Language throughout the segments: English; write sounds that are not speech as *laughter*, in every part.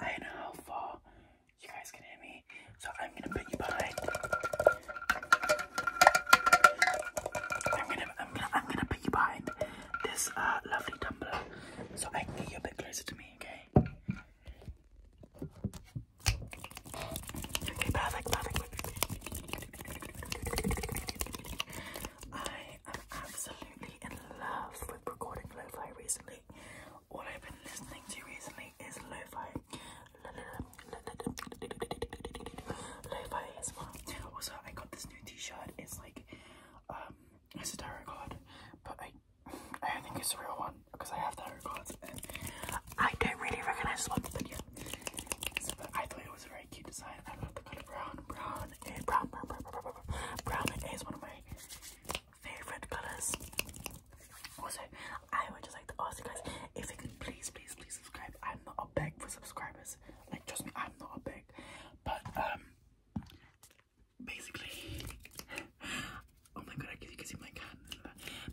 I know how you guys can hear me, so I'm gonna put you behind. I'm gonna, I'm gonna, I'm gonna put you behind this uh, lovely tumbler, so I can get you a bit closer to me, okay? Okay, perfect. I am absolutely in love with recording lo-fi recently. All I've been listening to recently is lo-fi. Lo-fi as well. Also, I got this new t-shirt. It's like, um, it's a tarot card, but I I think it's a real one because I have the cards and I don't really recognize this one, but yeah. So, but I thought it was a very cute design. I love the color brown. Brown, eh, brown, brown, brown, brown, brown, brown, brown is one of my favorite colors. Also, I would just like to ask you guys if you could please, please, please subscribe. I'm not a beg for subscribers. Like, trust me, I'm not a beg. But um, basically, oh my god, I guess you can see my can.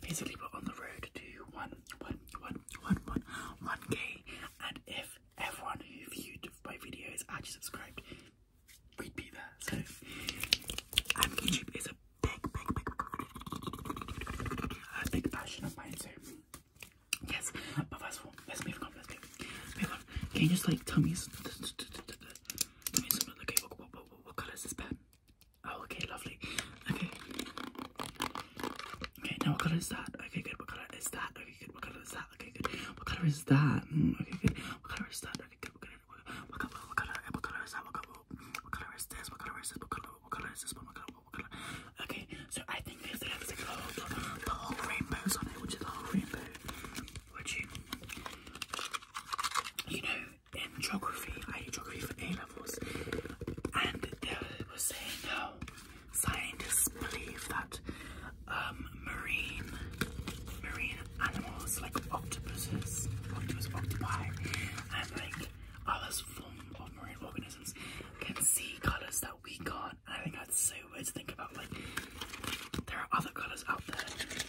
Basically, we're on the road to one one, one, one, one, one K. And if everyone who viewed my videos actually subscribed, we'd be there. So, and YouTube is a big, big, big, big passion of yes. But first of all, let's go. Move on. Can you just like tell me? what, what, what color is this pen? Oh, okay, lovely. Okay. Okay, now what color is that? Okay, good. What color is that? Okay, good. What color is that? Okay, good. What color is that? Mm, okay, good. What color is that? Okay, good. What color? What color? What color, what color is that? What color, what color is this? What color is this? What color? What color is this? What color? What color? Okay, so I think there's the lipstick the whole, the whole rainbow's on it, which is the whole rainbow. Would you? You know in geography. I did geography for A levels, and they were saying how scientists believe that um, marine marine animals like octopuses, octopus, octopi, and like other forms of marine organisms can see colours that we can't. I think that's so weird to think about. Like there are other colours out there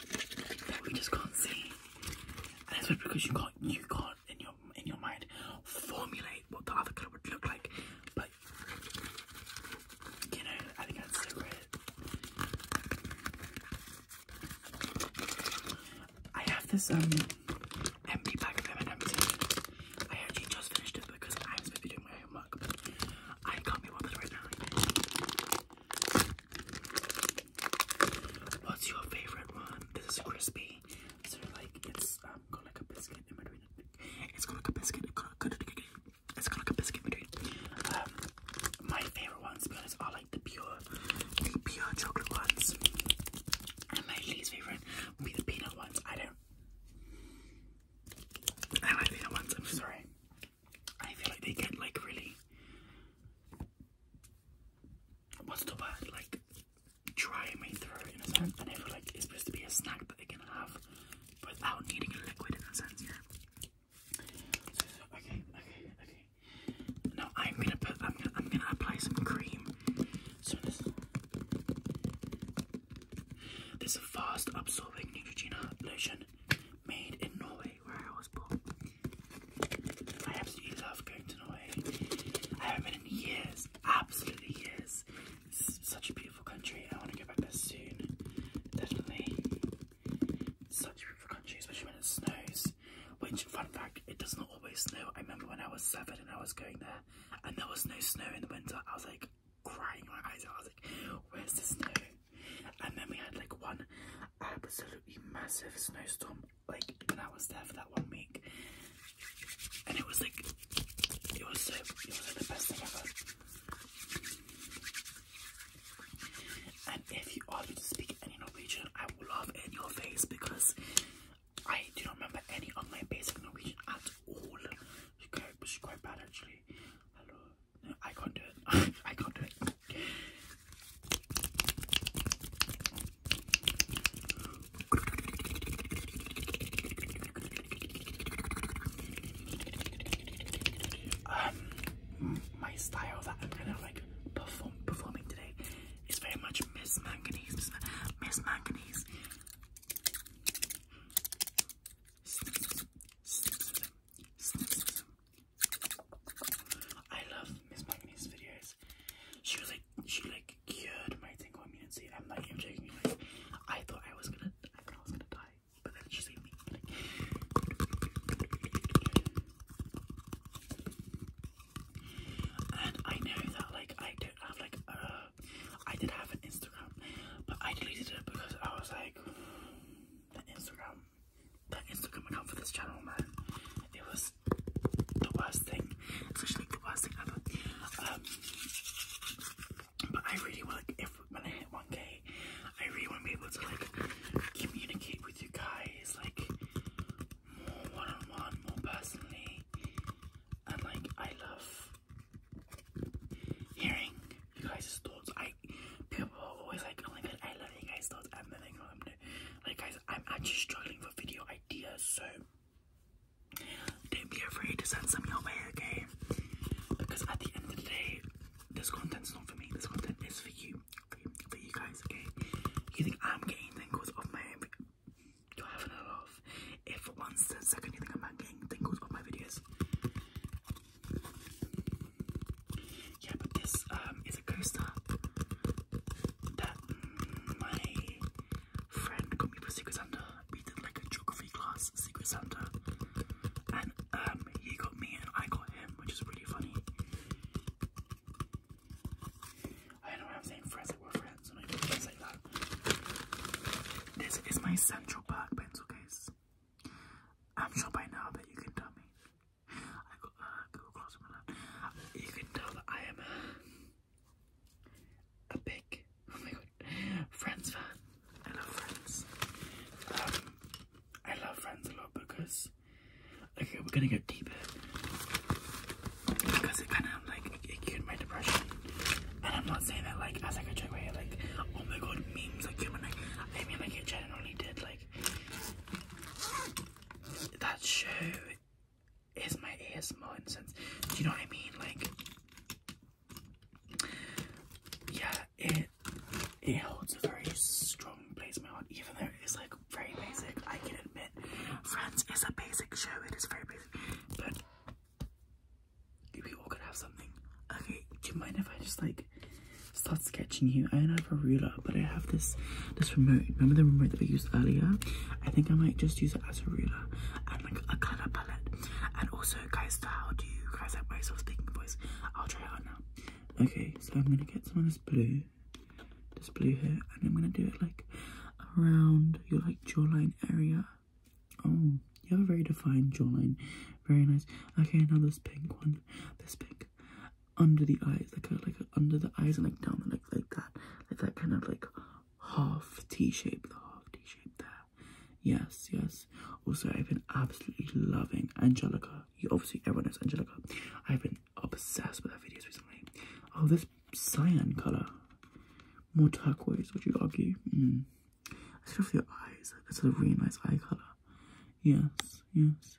that we just can't see, and that's because you can't you can't in your in your mind formulate what the other colour would look like. But you know, I think that's so great. I have this um empty bag of M&M's here. I actually just finished it because I'm supposed to be doing my homework, but I can't be bothered right now. What's your favorite one? This is crispy. So like it's um, got like a biscuit in between. It's got like a biscuit. It's got like a biscuit in between. Um, my favorite ones, to be honest, are like the pure, the pure chocolate ones. And my least favorite would be the peanut ones. I don't. I like peanut ones. I'm sorry. I feel like they get like really what's the word like dry in my throat in a sense, and I feel like it's supposed to be a snack that they can have without needing a liquid in a sense, yeah. okay, okay, okay. Now I'm gonna put I'm gonna I'm gonna apply some cream. So this this fast absorbing Neutrogena lotion made in Norway where I was born. I absolutely love going to Norway. I haven't been in years, absolutely years. It's such a beautiful country. I want to go back there soon, definitely. Such a beautiful country, especially when it snows. Which, fun fact, it does not always snow. I remember when I was seven and I was going there, and there was no snow in the winter. I was like crying my eyes out. I was like, "Where's the snow?" And then we had like one absolutely massive snowstorm, like when I was there for that one week. And it was like it was so it was like the best thing ever. And if you ask to speak any Norwegian, I will laugh in your face because I do not remember any of my basic Norwegian at all. It's quite, it's quite bad actually. Hello, I can't do it. *laughs* I can't do it. Um, my style that I'm gonna like perform performing today is very much Miss Manganese, Miss Manganese. I love Miss Magne's videos. She was like, she like cured my tingle immunity. I'm not even joking. I thought I was gonna, I thought I was gonna die, but then she saved me. and I know that like I don't have like a, I did have an Instagram, but I deleted it because I was like, the Instagram, the Instagram account for this channel, man, it was the worst thing. It's actually the worst thing ever. Um, but I really want, if when I hit 1k, I really want to be able to like communicate with you guys, like more one -on -one, more personally. And like, I love hearing you guys' thoughts. I people always like, oh my god, I love you guys' thoughts. I'm nothing wrong. Like guys, I'm actually struggling for video ideas, so don't be afraid to send some your way, okay? Because at the end of the day, this content is not for me. This content is for you, for you, guys, okay? You I'm getting things of my own? You're having laugh if once the second thing I'm making, getting goes on my videos. Yeah, but this um, is a coaster that my friend got me for Secret Santa. We did like a geography class, Secret Santa, and um, he got me and I got him, which is really funny. I don't know why I'm saying friends like friends. This is my Central Park pencil case. I'm sure by now that you can tell me. Uh, you can tell that I am a, uh, a big, *laughs* oh my god, Friends fan. I love Friends. Um, I love Friends a lot because, okay, we're gonna go deeper. Because it kind of like it cured my depression. And I'm not saying that like as I a joke where like, oh my god, memes like cured my like, I mean like it genuinely did like that show is my ASMR incense. Do you know what I mean? Like Yeah, it it holds a very strong place in my heart, even though it's like very basic, I can admit. Friends is a basic show, it is very basic. But we all could have something. Okay, do you mind if I just like start sketching you? I don't have a ruler, but I have this this remote. Remember the remote that we used earlier? I think I might just use it as a ruler and like a color palette. And also, guys, how do you guys have my soft speaking voice? I'll try it out now. Okay, so I'm gonna get some of this blue, this blue here, and I'm gonna do it like around your like jawline area. Oh, you have a very defined jawline. Very nice. Okay, now this pink one. This pink under the eyes, like like under the eyes and like down the like that, like that kind of like half T shape, the half T shape there. Yes, yes. Also, I've been absolutely loving Angelica. You obviously everyone knows Angelica. I've been obsessed with her videos recently. Oh, this cyan color, more turquoise, would you argue? Hmm. I Let's your eyes. That's a really nice eye color. Yes, yes.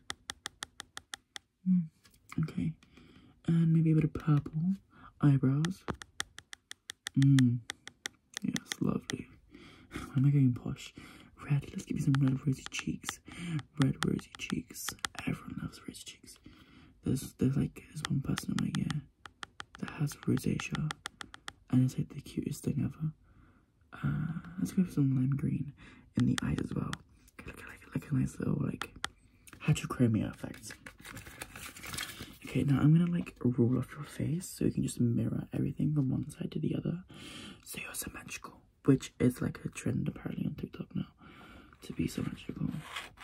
Hmm, okay, and maybe a bit of purple eyebrows. Hmm. Yes, lovely. *laughs* Why am I getting posh? Red. Let's give you some red rosy cheeks red rosy cheeks. Everyone loves rosy cheeks. There's there's like there's one person I'm like yeah that has rosacea and it's like the cutest thing ever. Uh, let's go for some lime green in the eyes as well. Like, like, like a nice little like heterochromia effect. Okay, now I'm gonna like roll off your face so you can just mirror everything from one side to the other so you're symmetrical which is like a trend apparently on TikTok now to be symmetrical.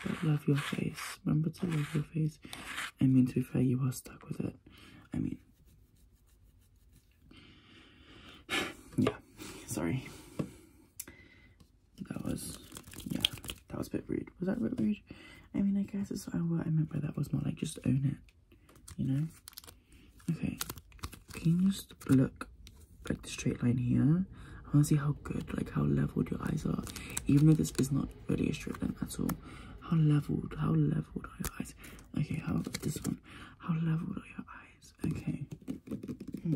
But love your face. Remember to love your face. I mean, to be fair, you are stuck with it. I mean, *sighs* yeah, sorry. That was, yeah, that was a bit rude. Was that a bit rude? I mean, I guess it's what I meant by that was more like just own it, you know? Okay, can you just look like the straight line here? I want to see how good, like how leveled your eyes are. Even if this is not really a straight line at all. How leveled, how leveled are your eyes? Okay, how this one? How leveled are your eyes? Okay. Hmm.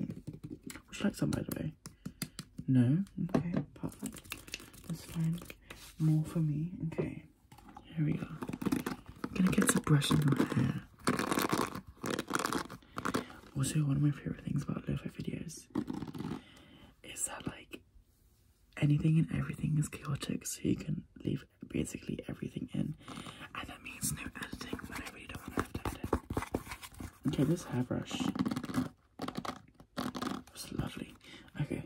Which Would you some, by the way? No? Okay, perfect. Let's find More for me. Okay, here we go. Can I get some brush in my hair? Also, one of my favorite things about lo-fi videos is that like anything and everything is chaotic, so you can leave basically everything in, and that means no editing. But I really don't want to have to edit. Okay, this hairbrush was lovely. Okay.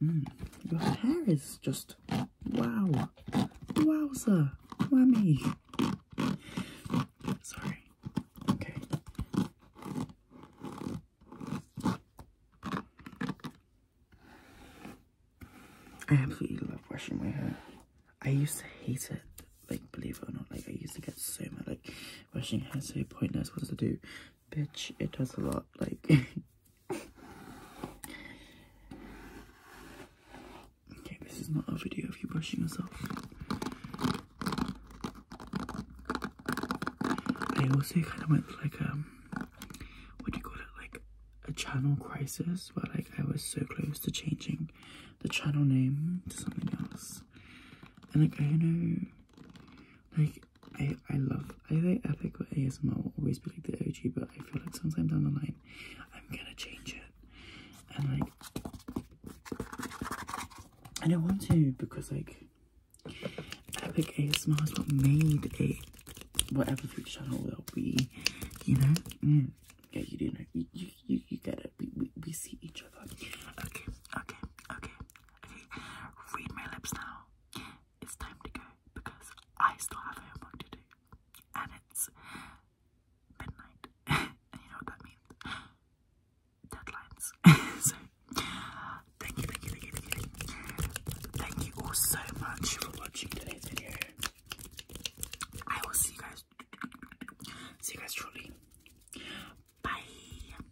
Mm, your hair is just Wow. Wowza. Whammy. Sorry. Okay. I absolutely love washing my hair. I used to hate it, like believe it or not, like I used to get so mad, like washing hair so pointless, what does it do? Bitch, it does a lot. Like, *laughs* okay, this is not a video of you brushing yourself. I also kind of went like um, what do you call it? Like a channel crisis, where like I was so close to changing the channel name to something else, and like I know, like I, I love, I Epic or ASMR always be like the OG, but I feel like sometime down the line, I'm gonna change it. And like, I don't want to because like, Epic ASMR has what made a whatever future channel will be, you know? Mm. Yeah, you do know, you, you, you, you get it, we, we, we see each other. Okay, okay, okay, okay, read my lips now. It's time to go because I still have homework to do. And it's midnight. *laughs* you know what that means? Deadlines. *laughs* so, thank you, thank you, thank you, thank you. Thank you all so much for watching today's I will see you guys. See you guys shortly. Bye.